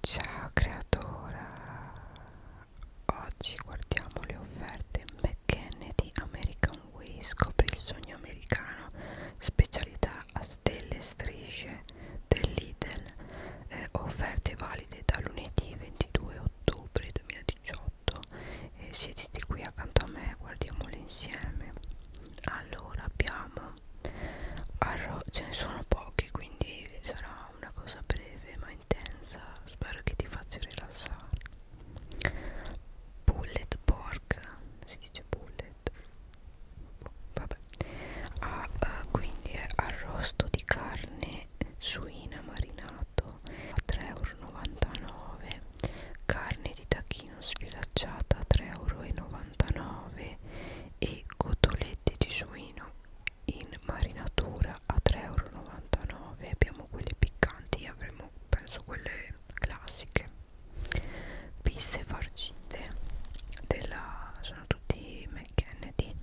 Ciao creatora, oggi guardiamo le offerte McKenney di American Way, scopri il sogno americano, specialità a stelle e strisce del Lidl, eh, offerte valide da lunedì 22 ottobre 2018, eh, siediti qui accanto a me, guardiamole insieme. Allora abbiamo arro ce ne sono pochi quindi sarà una cosa breve ma intensa spero che ti faccia rilassare bullet pork si dice bullet oh, vabbè ah, eh, quindi è arrosto di carne suina marinato a 3,99 euro carne di tacchino sfilacciata a 3,99 euro e cotolette di suino in marinatura a 3,99 euro abbiamo quelle piccanti e avremo penso quelle classiche pisse farcite della, sono tutti McKennedy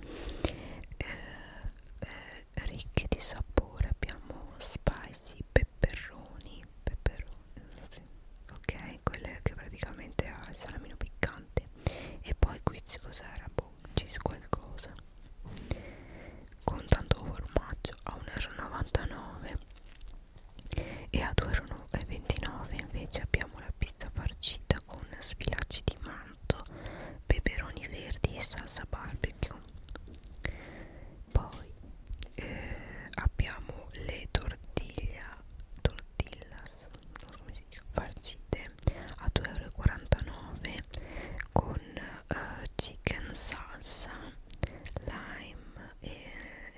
eh, eh, ricche di sapore abbiamo spicy pepperoni pepperoni sì. ok quelle che praticamente ha il salamino piccante e poi qui cos'era? boh, cheese qualcosa con tanto formaggio a 1,99€ e a 2,29€ invece abbiamo la pizza farcita con sfilacci di manto peperoni verdi e salsa barbecue poi eh, abbiamo le tortiglia tortillas non so come si dice, farcite a 2,49€ con eh, chicken salsa lime e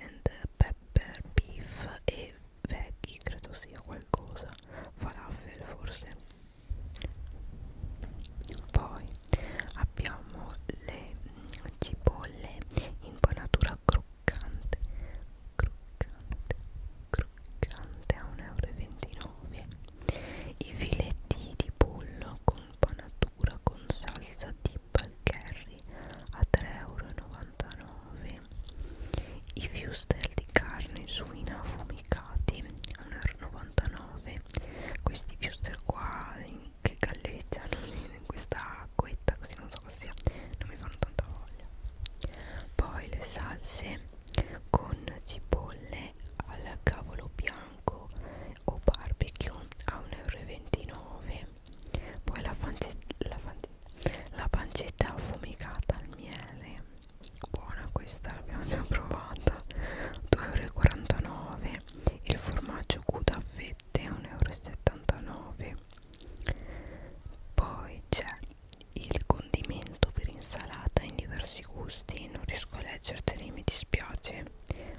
and pepper beef e veggie credo sia qualcosa falafel forse poi abbiamo le cipolle impanatura croccante croccante croccante a 1,29 euro i filetti di pollo con panatura con salsa di curry a 3,99 euro i fiustel di carne suina affumicati a 1,99 euro questi fiustel qua che galleggiano in questa acquetta così non so cosa sia non mi fanno tanta voglia poi le salse con cipolle al cavolo bianco o barbecue a 1,29 euro poi la, la, la pancetta affumicata al miele buona questa l'abbiamo già provata 2,49 euro bene il formaggio Gouda a fette 1,79 euro poi c'è il condimento per insalata in diversi gusti non riesco a leggerteli mi dispiace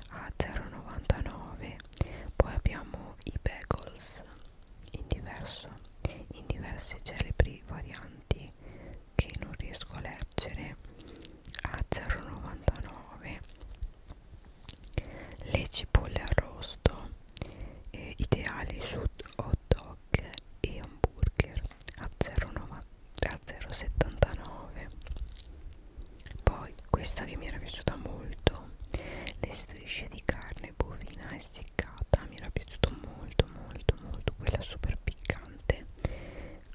a 0,99 poi abbiamo i bagels in diverso in diverse celebri varianti che non riesco a leggere a 0,99 le cipolle arrosto eh, ideali su hot dog e hamburger a 0,79 poi questa che mi era piaciuta molto le strisce di carne bovina essiccata mi era piaciuto molto molto molto quella super piccante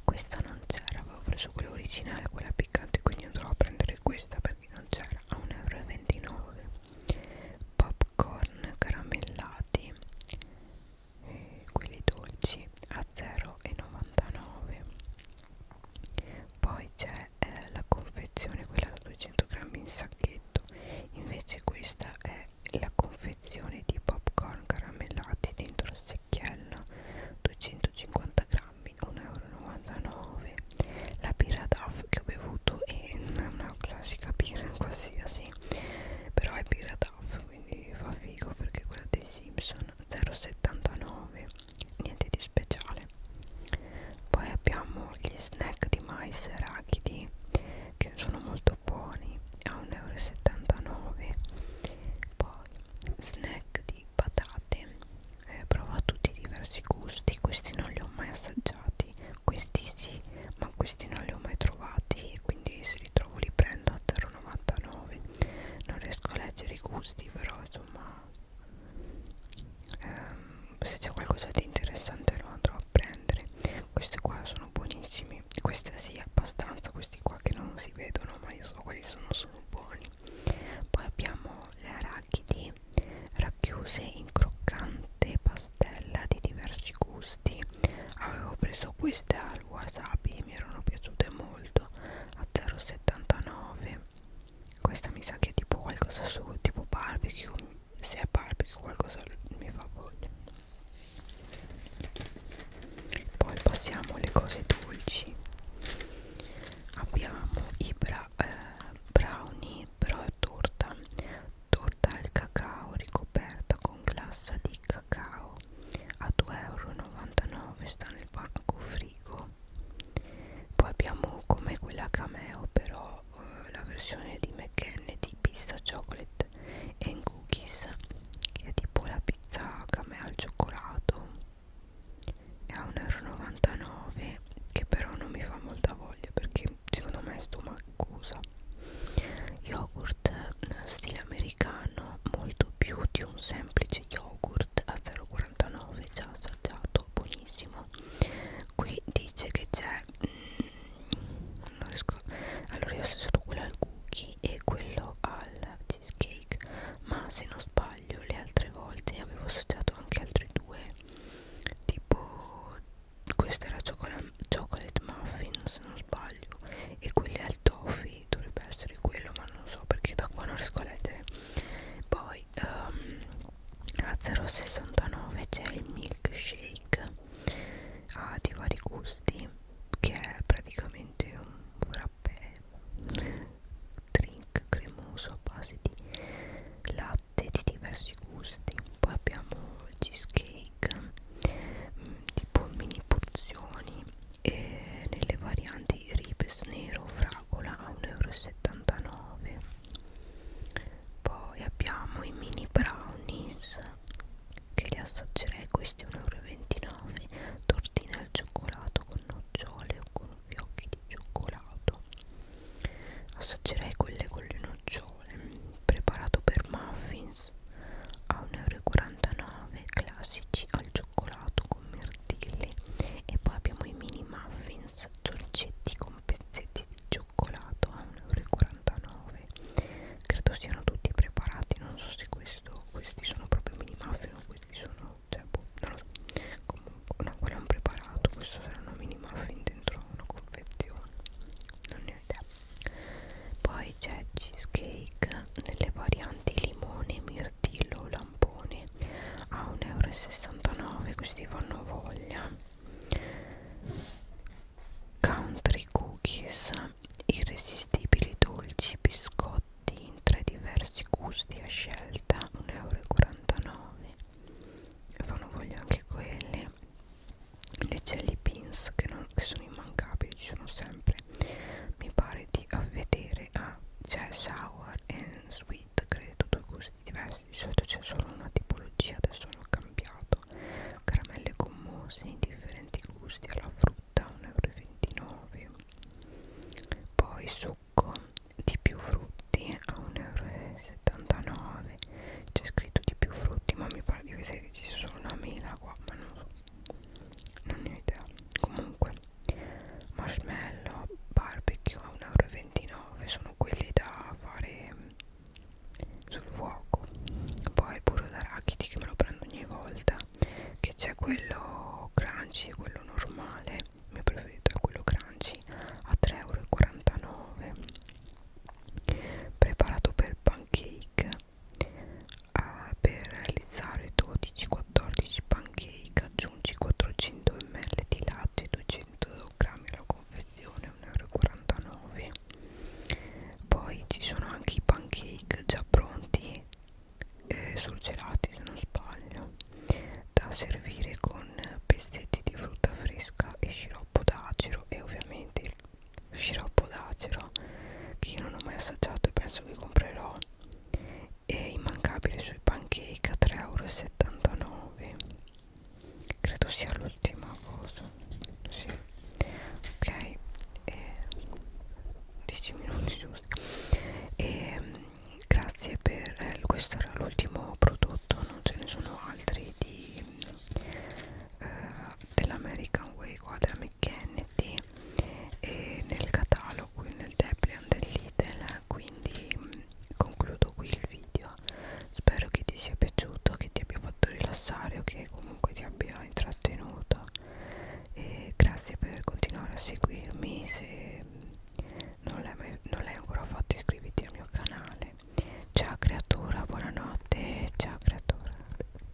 questa non c'era avevo preso quella originale quella piccante quindi andrò a prendere questa perché non c'era a 1,29 euro popcorn caramellati eh, quelli dolci a 0,99 poi c'è eh, la confezione quella da 200 grammi in sacchetto invece questa è la confezione di popcorn caramellati dentro 16 secchiello 250 grammi 1,99 euro la birra DAF che ho bevuto è una classica birra qualsiasi però è birra DAF quindi fa figo perché quella dei Simpson 0,79 niente di speciale poi abbiamo gli snack di mais arachidi che sono molto buoni a 1,79 euro poi snack di patate eh, prova tutti i diversi gusti questi non li ho mai assaggiati questi sì ma questi non li ho mai trovati e quindi se li trovo li prendo a 0,99 non riesco a leggere i gusti però insomma ehm, se c'è qualcosa di interessante lo andrò a prendere questi qua sono buonissimi questi sì abbastanza questi qua che non si vedono ma io so quali sono sono buoni poi abbiamo le arachidi racchiuse in croccante pastella di diversi gusti avevo preso queste al wasabi mi erano piaciute molto a 0,79 questa mi sa che è tipo qualcosa su tipo barbecue se è barbecue qualcosa mi fa voglia poi passiamo alle cose dolci abbiamo i bra eh, brownie però torta torta al cacao ricoperta con glassa di cacao a 2,99€ sta nel banco frigo poi abbiamo come quella cameo però ho eh, la versione di McKenna di pizza chocolate and cookies che è tipo la pizza camè al cioccolato è a 1,99 euro che però non mi fa molta voglia perché secondo me è stomacosa yogurt eh, stile americano molto più di un semplice yogurt a 0,49 già assaggiato buonissimo no qui dice che c'è mm, non riesco allora io ho solo quello al cookie e quello al cheesecake ma se non sbaglio le altre volte avevo associato anche altri due tipo questo era chocolate, chocolate muffin se non sbaglio e quelli al toffee dovrebbe essere quello ma non so perché da qua non riesco a leggere poi um, a 0,69 c'è il milkshake ha ah, di vari gusti che è praticamente un frappè drink cremoso a base di latte di diversi gusti poi abbiamo il cheesecake mm, tipo mini porzioni e nelle varianti ribes nero fragola a 1,79 euro poi abbiamo i mini brownies che li assaggerei questi 1,29 euro tortine al cioccolato con nocciole o con fiocchi di cioccolato assaggerei quelle con le nocciole preparato per muffins a 1,49 euro classici al cioccolato con mirtilli e poi abbiamo i mini muffins dolcetti con con pezzetti di cioccolato a 1,49 euro credo siano tutti preparati non so se questo, questi sono proprio mini muffin o questi sono cioè, boh, non lo so comunque no quello è un preparato questo saranno mini muffin dentro una confezione non ne ho idea poi c'è cheesecake nelle varianti limone, mirtillo lampone a 1,69 euro questi fanno voglia country cookies irresistibili dolci biscotti in tre diversi gusti a scelta 1,49 euro fanno voglia anche quelli le jelly beans che, non, che sono immancabili ci sono sempre mi pare di vedere ah, c'è sour and sweet fit credo due gusti diversi di solito c'è solo una tipologia adesso hanno cambiato caramelle gommose in differenti gusti alla frutta 1,29 euro poi succo di più frutti a 1,79 euro c'è scritto di più frutti ma mi pare di vedere che ci sia solo una mela qua ma non so non ne ho idea comunque marshmallow barbecue a 1,29 euro sono quelli da fare sul fuoco poi burro d'arachidi che me lo prendo ogni volta che c'è quello crunchy e quello normale il mio preferito è quello crunchy a 3,49 euro preparato per pancake uh, per realizzare 12-14 pancake aggiungi 400 ml di latte 200 g la confezione 1,49 euro poi ci sono anche i pancake già pronti eh, surgelati se non sbaglio da servire con pezzetti di frutta fresca e sciroppo d'acero e ovviamente il sciroppo d'acero che io non ho mai assaggiato e penso che comprerò e immancabile sui pancake a 3,79 euro credo sia l'ultima cosa sì. ok e eh, 10 minuti giusti e ehm, grazie per eh, questo era l'ultimo prodotto non ce ne sono altri di eh, dell'American Way qua della McKennedy e nel catalogo nel Deplion dell'Idel quindi mh, concludo qui il video spero che ti sia piaciuto che ti abbia fatto rilassare o che comunque ti abbia intrattenuto e grazie per continuare a seguirmi se non l'hai ancora fatto iscriviti al mio canale ciao creatura buonanotte ciao creatura